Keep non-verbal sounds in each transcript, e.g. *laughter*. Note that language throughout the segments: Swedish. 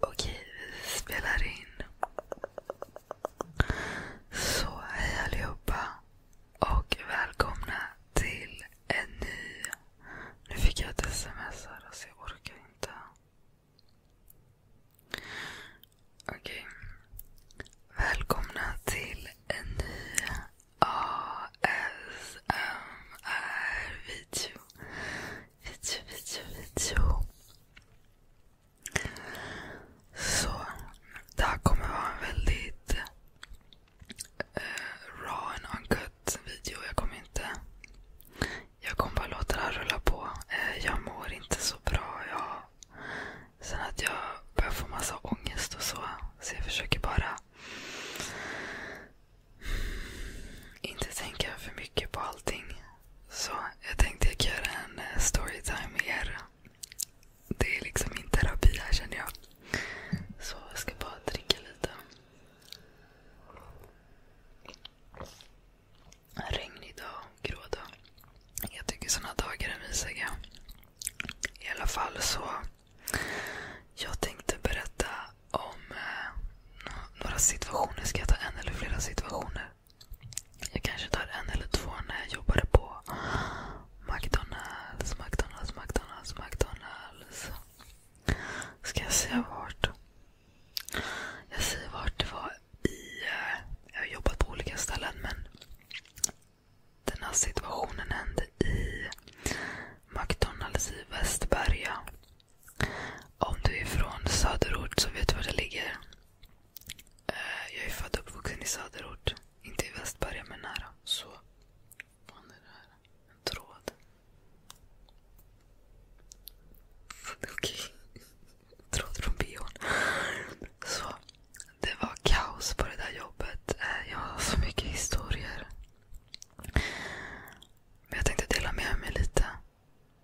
Okej, vi spelar in. Så hej allihopa och välkomna till en ny... Nu fick jag ett sms här så alltså, jag orkar inte. Okej. Välkomna till en ny ASMR-video video, video, video. Så det här kommer vara en väldigt eh, raw video. Jag kommer inte... Jag kommer bara låta det här rulla på. Eh, jag mår inte så bra. sen att jag börjar få massa ångest och så. Så jag försöker bara inte tänka för mycket på allting. Så jag tänkte jag göra en eh, storytime med er. Det är liksom min terapi här känner jag. Så jag ska bara dricka lite. Regnig dag, grå dag. Jag tycker såna dagar är mysiga. I alla fall så jag tänkte berätta om eh, några situationer. Ska jag ta en eller flera situationer? Jag kanske tar en eller två när jag jobbade på McDonalds, McDonalds, McDonalds, McDonalds. Ska jag säga vart? Jag säger vart det var i... Eh, jag har jobbat på olika ställen men den här situationen hände i McDonalds i Västberga. Om du är från söderort så vet du var det ligger. Eh, jag är född och uppvuxen i söderort. Inte i Västberga men nära. Så. Vad är det här? En tråd. *laughs* Okej. Tråd från bion. Så. Det var kaos på det där jobbet. Eh, jag har så mycket historier. Men jag tänkte dela med mig lite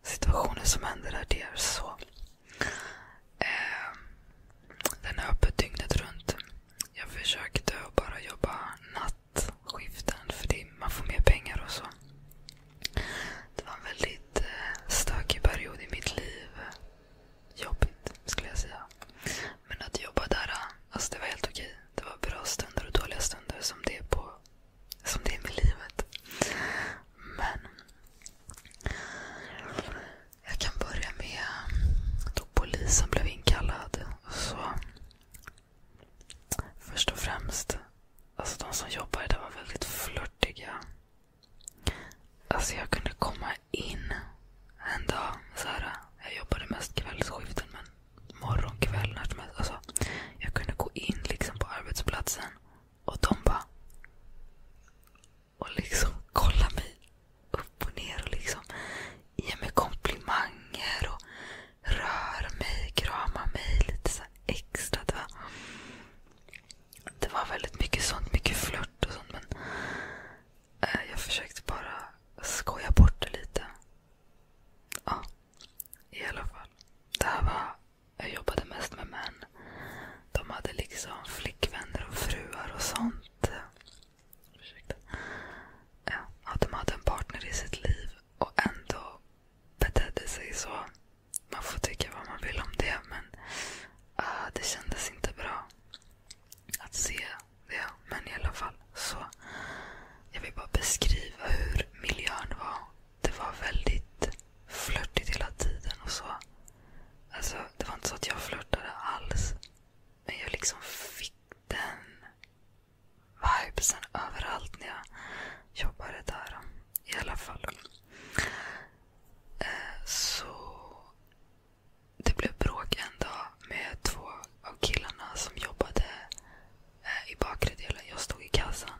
situationer som händer där det är så. Ehm, den är öppet dygnet runt. Jag försökte bara jobba nattskiften för det, man får mer pengar och så. Det var en väldigt eh, stökig period i mitt liv. Jobbigt skulle jag säga. Men att jobba där, eh, alltså det var helt okej. Det var bra stunder och dåliga stunder som det är, på, som det är med livet. Men jag kan börja med då polisen blev inkallad. Så Först och främst, alltså de som jobbade där var väldigt flörtiga. Alltså jag kunde komma in en dag, så här, jag jobbade mest kvällsskiften men morgon, kväll, när som helst. Alltså, jag kunde gå in liksom på arbetsplatsen och de bara... Och liksom kolla mig upp och ner och liksom ge mig komplimanger och röra mig, krama mig lite så extra. Det var, det var väldigt mycket sånt. Mycket flört och sånt. Men Eh, jag försökte bara skoja bort det lite. Ja, i alla fall. Det här var, jag jobbade mest med män. De hade liksom flickvänner och fruar och sånt. Ursäkta. Ja, de hade en partner i sitt liv och ändå betedde sig så. Man får tycka vad man vill om det men uh, det kändes inte bra att se det. Men i alla fall. så Jag vill bara beskriva hur miljön var. Det var väldigt flörtigt hela tiden. och så. Alltså, det var inte så att jag flörtade alls. Men jag liksom fick den vibesen överallt när jag jobbade där. I alla fall. Eh, så det blev bråk en dag med två av killarna som jobbade eh, i bakre delen. Jag stod i kassan.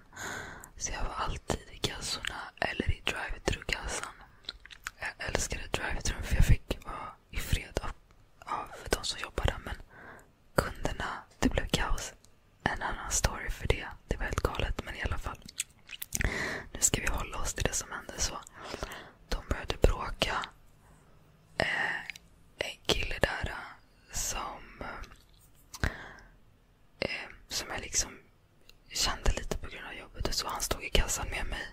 Så jag var alltid i kassorna eller i drive-through-kassan. Jag älskade drive-through för jag fick vara i fred av, av de som jobbade. Men kunderna, det blev kaos. En annan story för det. Det var helt galet. Men i alla fall. Nu ska vi hålla oss till det som hände. så. De började bråka eh, en kille där eh, som, eh, som jag liksom kände lite på grund av jobbet. Och så Han stod i kassan med mig.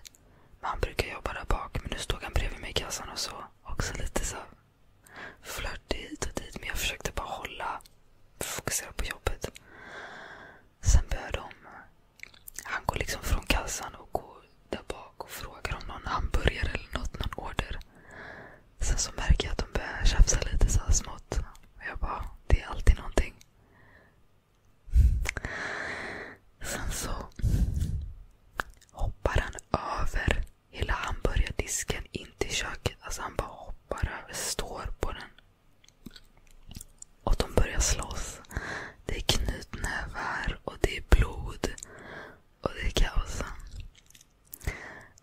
Men han brukar jobba där bak. Men nu stod han bredvid mig i kassan och så. Också lite så flörtig hit och dit. Men jag försökte bara hålla, fokusera på jobbet. Sen började de han går liksom från kassan och går där bak och frågar om någon hamburgare eller något, någon order. Sen så märker jag att de börjar tjafsa lite så här smått. Och jag bara, det är alltid någonting. Sen så hoppar han över hela hamburgardisken in till köket. Alltså han bara hoppar över, står på den. Och de börjar slåss. Det är knutnävar och det är blod. Och det är kaos.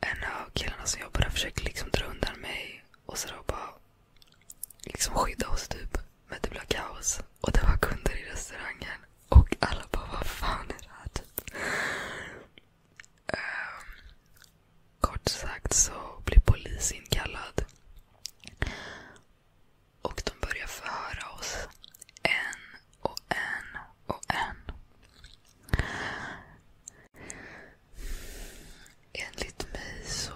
En av killarna som jobbar där försöker liksom dra undan mig. Och sådär bara liksom skydda oss typ. Men det blev kaos. Och det var kunder i restaurangen. Och alla bara vad fan är det här typ. Um, kort sagt så blir polis inkallad. Och de börjar förhöra oss. En och en och en. Enligt mig så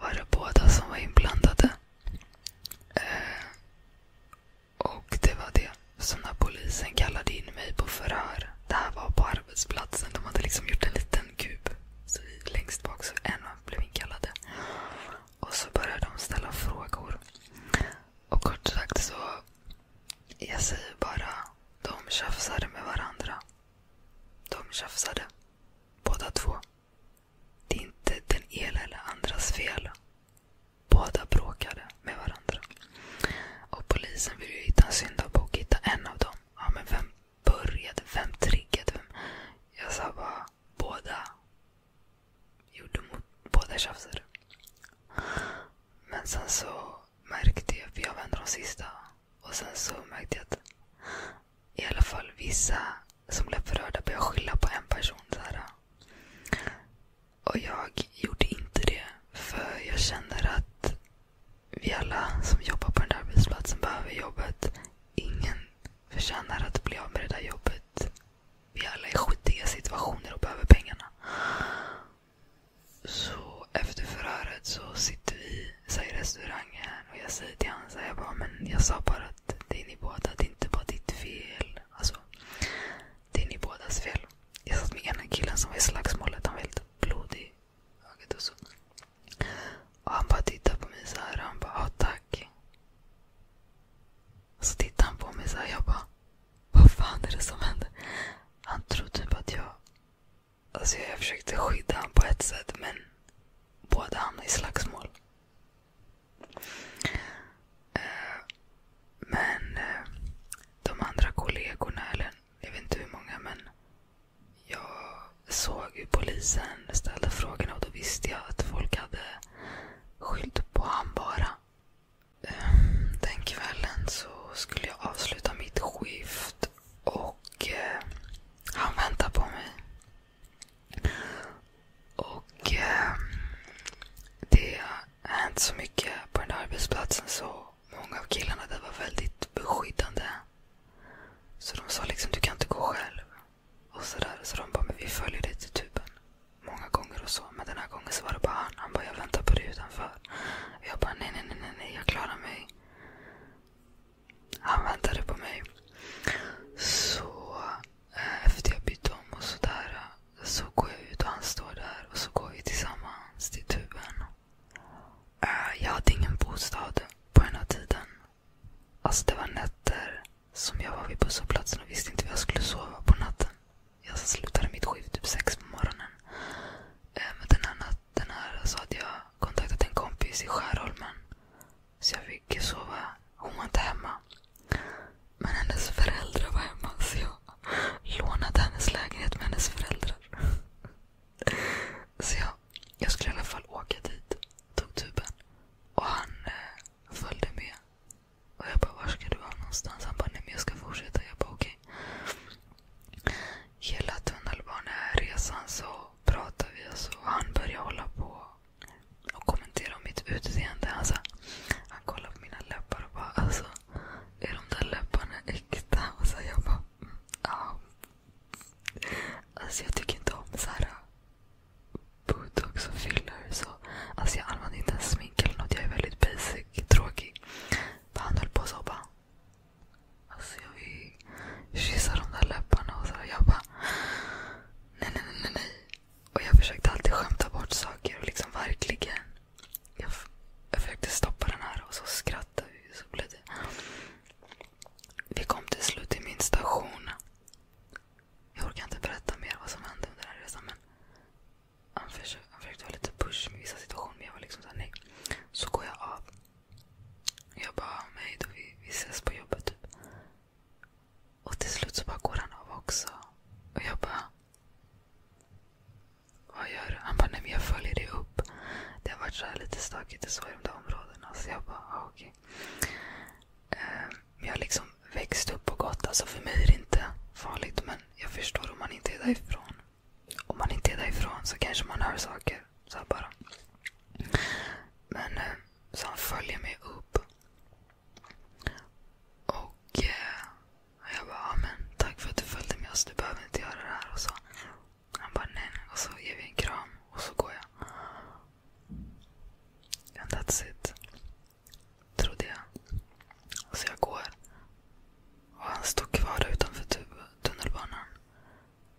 var det båda som var inblandade. Eh, och det var det. Som när polisen kallade in mig på förhör. Det här var på arbetsplatsen. De hade liksom gjort en liten kub. Så längst bak så en blev inkallade. Och så började de ställa frågor. Och kort sagt så, jag säger bara, de tjafsade med varandra. De tjafsade. Båda två. Det är inte den ena eller andras fel. Båda bråkade med varandra. Och polisen vill ju hitta en syndabock, hitta en av dem. Ja, men vem, började? Vem triggade vem? Jag sa bara båda. Gjorde mot, båda tjafsade. Men sen så märkte jag, för jag var en av de sista. Och sen så märkte jag att i alla fall vissa som blev berörda började skylla på en person. Så här. Och jag gjorde inte det. För jag känner att vi alla som jobbar på den där arbetsplatsen behöver jobbet. Ingen förtjänar att bli av med det där jobbet. Vi alla är skitiga situationer och behöver pengarna. Så efter förhöret så sitter vi i restaurangen och jag säger till honom så jag bara, men jag sa bara att det är ni båda, det är inte bara ditt fel. Alltså, det är ni bådas fel. Jag satt med ena killen som var i slagsmålet, han var helt blodig högt och så. Och han bara tittar på mig såhär. och han bara, ja tack. Och så tittar han på mig såhär. jag bara, vad fan är det som händer? Han tror typ att jag, alltså jag försökte skydda honom på ett sätt men båda hamnade i slagsmål. Eh, men eh, de andra kollegorna, eller jag vet inte hur många, men jag såg hur polisen ställde frågorna och då visste jag att folk hade skylt på han bara. Ehm, den kvällen så skulle jag avsluta mitt skift och eh, han väntade på mig. Och ehm, det har hänt så mycket på den där arbetsplatsen så många av killarna där var väldigt beskyddande. Så de sa liksom, du kan inte gå själv. Och sådär. Så de bara, men vi följer dig till tuben. Många gånger och så. Men den här gången så var det bara han. Han bara, jag väntar på dig utanför. Och jag bara, nej, nej, nej, nej, nej jag klarar mig. Han väntade på mig. Så eh, efter jag bytte om och sådär så går jag ut och han står där och så går vi tillsammans till tuben. Eh, jag hade ingen bostad på den här tiden. Alltså det var nätter som jag var vid busshållplatsen och visste inte var jag skulle sova på natten. Jag slutade mitt skift typ sex på morgonen. Eh, men den här natten här så hade jag kontaktat en kompis i Skärholmen. Så jag fick sova. Hon var inte hemma. Men hennes föräldrar var hemma så jag *laughs* lånade hennes lägenhet med hennes föräldrar. *laughs* Så jag, jag skulle i alla fall åka dit. Tog tuben. Och han eh, följde med. Och jag bara, var ska du vara någonstans? Han bara, nej men jag ska fortsätta. Jag bara, okej. Hela tunnelbaneresan så pratade vi alltså. och han började hålla på och kommentera om mitt utseende. Alltså, han kollade på mina läppar och bara, alltså är de där läpparna äkta? Och så jag bara, mm, ja, Alltså jag tycker inte om så äh, botox och filler. Så. Alltså jag använder inte ens smink eller något. Jag är väldigt basic, tråkig. Men han höll på så bara. Alltså jag vill kyssa de där läpparna och så Jag bara. Nej, nej, nej, nej. Och jag försökte alltid skämta bort saker och liksom verkligen. Jag, jag försökte stoppa den här och så skrattade vi så blev det. Vi kom till slut till min station. Jag orkar inte berätta mer vad som hände under den här resan. Men han försökte, han försökte vara lite push med vissa situationer men jag var liksom såhär nej. Så går jag av. Jag bara, hej då vi, vi ses på jobbet typ. Och till slut så bara går han av också. Och jag bara... Vad gör du? Han bara, nej men jag följer dig upp. Det har varit så lite stökigt och så i de där områdena. Så jag bara, ah, okej. Okay. Um, ehm, jag har liksom växt upp och gått. Alltså för mig är det inte farligt. Men jag förstår om man inte är därifrån. Om man inte är därifrån så kanske man hör saker. Så här bara. Men um, så han följer mig upp. Och eh, jag bara, men tack för att du följde med oss. Du behöver inte göra det här. Och så. Han bara nej, Och så ger vi en kram och så går jag. And that's it. Trodde jag. Så jag går. Och han står kvar utanför tunnelbanan.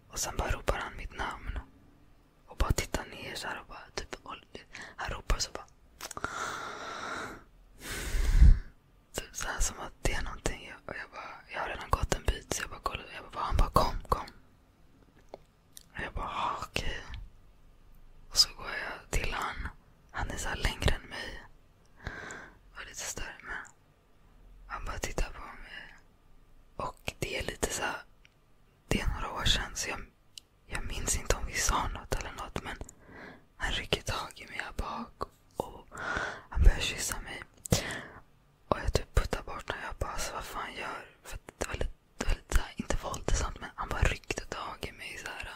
Och sen bara ropar han mitt namn. Och bara tittar ner så och bara typ, han ropar så bara. Typ så här, som att det är någonting. Jag, jag, bara, jag har redan gått en bit så jag bara kollade. Jag bara, han bara kom, kom. Och jag bara, ah, okej. Och så går jag till han. Han är så här längre än mig. Och lite större med. Han bara tittar på mig. Och det är lite så här, Det är några år sedan så jag, jag minns inte om vi sa något eller något. Men han rycker tag i mig här bak och han börjar kyssa mig. Och jag typ puttar bort honom. Jag bara, alltså, vad fan gör För det var lite, det var lite här, inte våldsamt men han bara ryckte tag i mig. Så, här.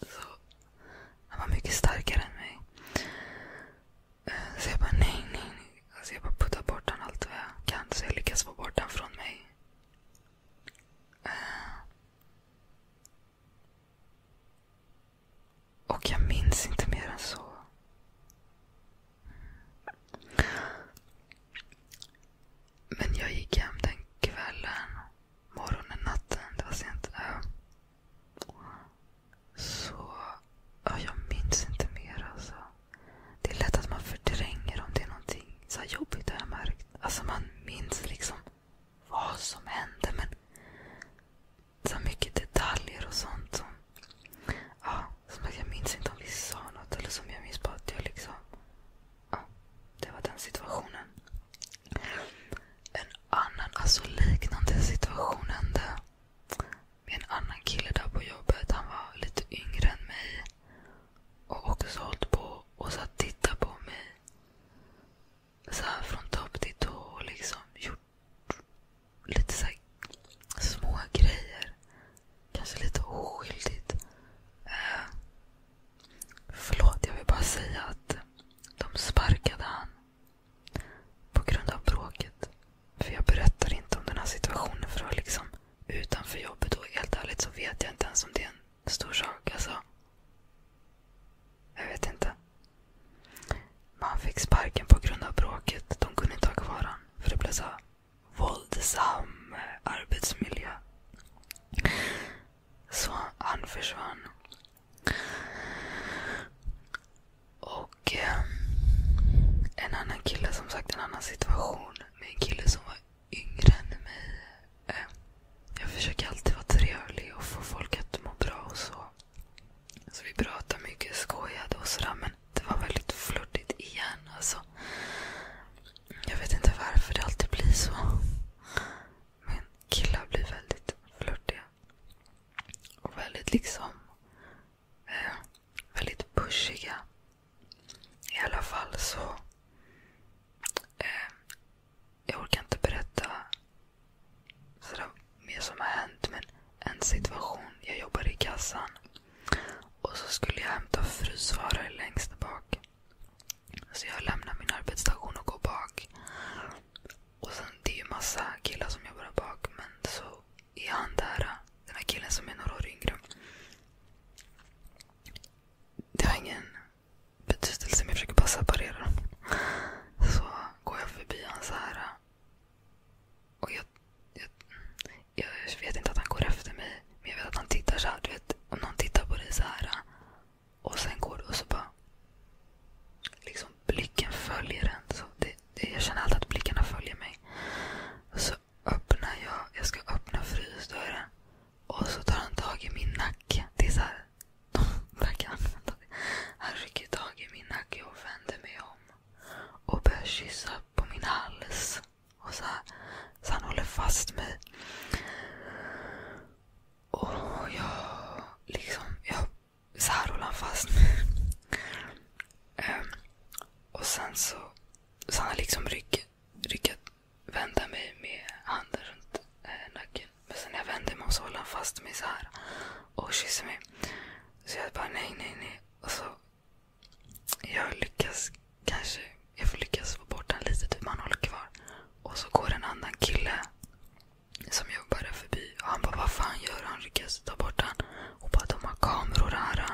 så Han var mycket starkare än mig. Eh, så jag bara, nej, nej, nej. Alltså, jag bara puttar bort honom allt vad jag kan. Så jag lyckas få bort honom från mig. Eh, och jag minns inte mer än så. Men jag gick hem den kvällen, morgonen, natten. Det var sent. Äh. Så ja, jag minns inte mer. Alltså. Det är lätt att man förtränger om det är någonting så jobbigt har jag märkt. Alltså man minns liksom vad som hände. Men så mycket detaljer och sånt som... Ja, som jag minns inte om vi sa något eller som jag minns bara att jag liksom... Ja, det var den situationen. En annan, alltså liknande situation hände med en annan kille där på jobbet. Han var lite yngre än mig. Och också hållit på och satt och tittade på mig så från topp till tå liksom lite så här, Kanske lite oskyldigt. Eh, förlåt, jag vill bara säga att de sparkade han på grund av bråket. För jag berättar inte om den här situationen för liksom utanför jobbet och helt ärligt så vet jag inte ens om det är en stor sak alltså. Jag vet inte. Man fick sparken på grund av bråket. De kunde inte ha kvar honom. För det blev så våldsam arbetsmiljö. Så han försvann. Och eh, en annan kille, som sagt en annan situation. Med en kille som var yngre än mig. Eh, jag försöker alltid vara trevlig och få folk att må bra och så. Så vi pratade mycket, skojade och sådär. Men det var väldigt flörtigt igen. Alltså. Jag vet inte varför det alltid blir så. Men killar blir väldigt flörtiga. Och väldigt liksom... Eh, väldigt pushiga. I alla fall så... Eh, jag orkar inte berätta sådär mer som har hänt. Men en situation. Jag jobbar i kassan. Och så skulle jag hämta frysvaror längst bak. Så jag lämnar min arbetsstation och går bak. Och sen, Det är ju massa killar som jobbar där bak. Men så är han där. Den här killen som är några år yngre. Det har ingen betydelse men jag försöker bara separera dem. Så går jag förbi honom så här. Och jag, jag, jag vet inte att han går efter mig. Men jag vet att han tittar så här. Du vet, om någon tittar på dig så här. Och sen går du och så bara... Liksom blicken följer en. Så det, det, jag känner alltid att blickarna följer mig. så öppnar jag. Jag ska öppna frysdörren. Och så tar han tag i min nacke. Det är såhär. *laughs* de verkar använda det. Han rycker tag i min nacke och vänder mig om. Och börjar kyssa på min hals. Och så, här, så han håller fast mig. Och jag liksom, jag, så här håller han fast mig. Um, och sen så, så han har liksom ryck, ryckat vända mig med handen runt eh, nacken. Men sen när jag vände mig så håller han fast mig så här och kysser mig. Så jag bara nej, nej, nej. Och så jag lyckas kanske, jag får lyckas få bort den lite, typ man håller kvar. Och så går en annan kille som jobbar där förbi och han bara vad fan gör han? Lyckas ta bort den. Och bara de har kameror här.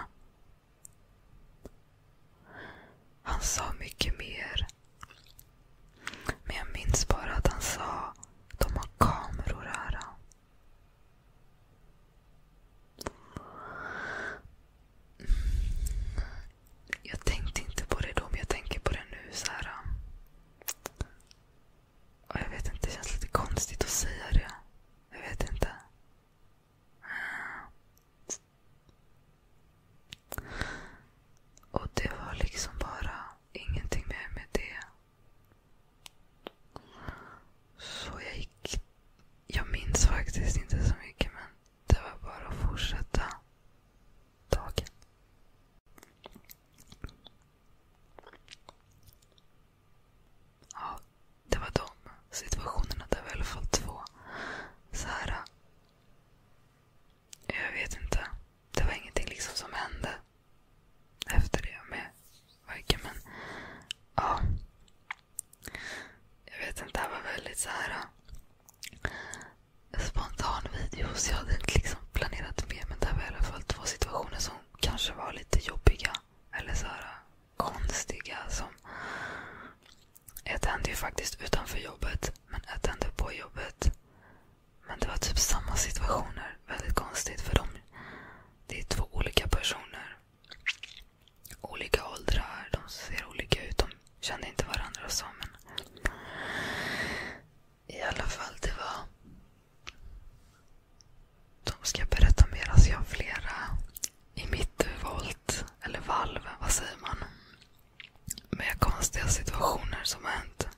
Han sa mycket mer. Men jag minns bara att han sa de har kameror här. Mm. Jag tänkte inte på det då, men jag tänker på det nu. så här. Och jag vet inte, det känns lite konstigt att säga det. Jag vet inte. Och det var liksom bara ingenting mer med det. Så jag gick... Jag minns faktiskt inte så mycket men det var bara att fortsätta dagen. Ja, det var de situationerna. Det var i alla fall två. Så här, jag vet inte. Det var ingenting liksom som hände efter det med varken men ja. Jag vet inte, det här var väldigt så här äh, spontan video så jag hade inte liksom planerat med men det var i alla fall två situationer som kanske var lite jobbiga eller så här konstiga som ett hände ju faktiskt utanför jobbet, men ett hände på jobbet. Men det var typ samma situationer. Väldigt konstigt för dem. Det är två olika personer. Olika åldrar, de ser olika ut. De kände inte varandra och så. Men I alla fall, det var... De ska berätta mer. Alltså jag har flera i mitt volt, eller valv, vad säger man? Med konstiga situationer som har hänt.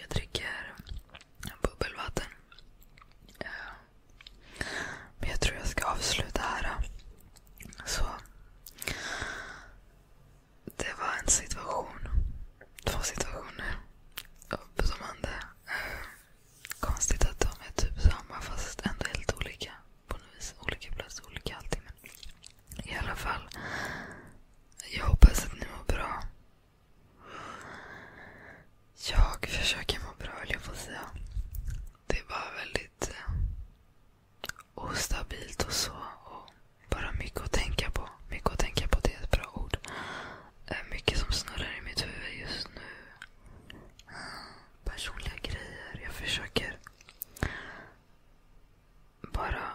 Jag dricker bubbelvatten. Men jag tror jag ska avsluta här. Det var en situation. Två situationer som hände Konstigt att de är typ samma fast ändå helt olika. Olika plats, olika allting. I alla fall. Jag hoppas att ni mår bra. Jag försöker må bra vill jag få säga. Det är bara väldigt eh, ostabilt och så. Och bara mycket att tänka på. Mycket att tänka på, det är ett bra ord. Mycket som snurrar i mitt huvud just nu. Personliga grejer. Jag försöker bara...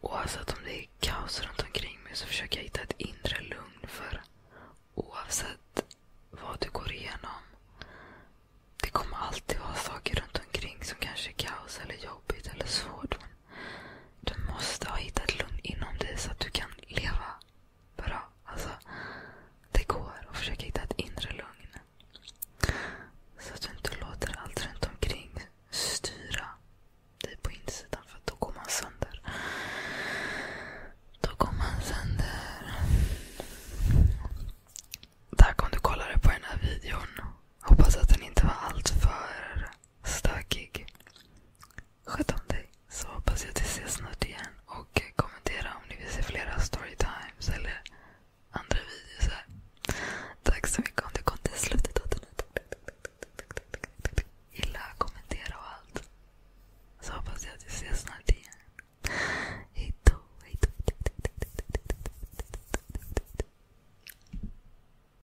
Oavsett om det är kaos runt mig så försöker jag hitta ett inre lugn. För oavsett vad du går igenom. Det kommer alltid vara saker runt omkring som kanske är kaos eller jobbigt eller svårt. Men du måste ha hittat lugn inom dig så att du kan leva bra. Alltså, det går att försöka hitta ett inre lugn. Så att du inte låter allt runt omkring styra dig på insidan. För då går man sönder. Då går man sönder. Tack om du kollade på den här videon. Hoppas att den inte var alltför stökig. Sköt om dig så hoppas jag att vi ses snart igen. Och kommentera om ni vill se flera storytimes eller andra videos här. Tack så mycket om du kom till slutet av den här. Gilla, kommentera och allt. Så hoppas jag att vi ses snart igen. hejdå.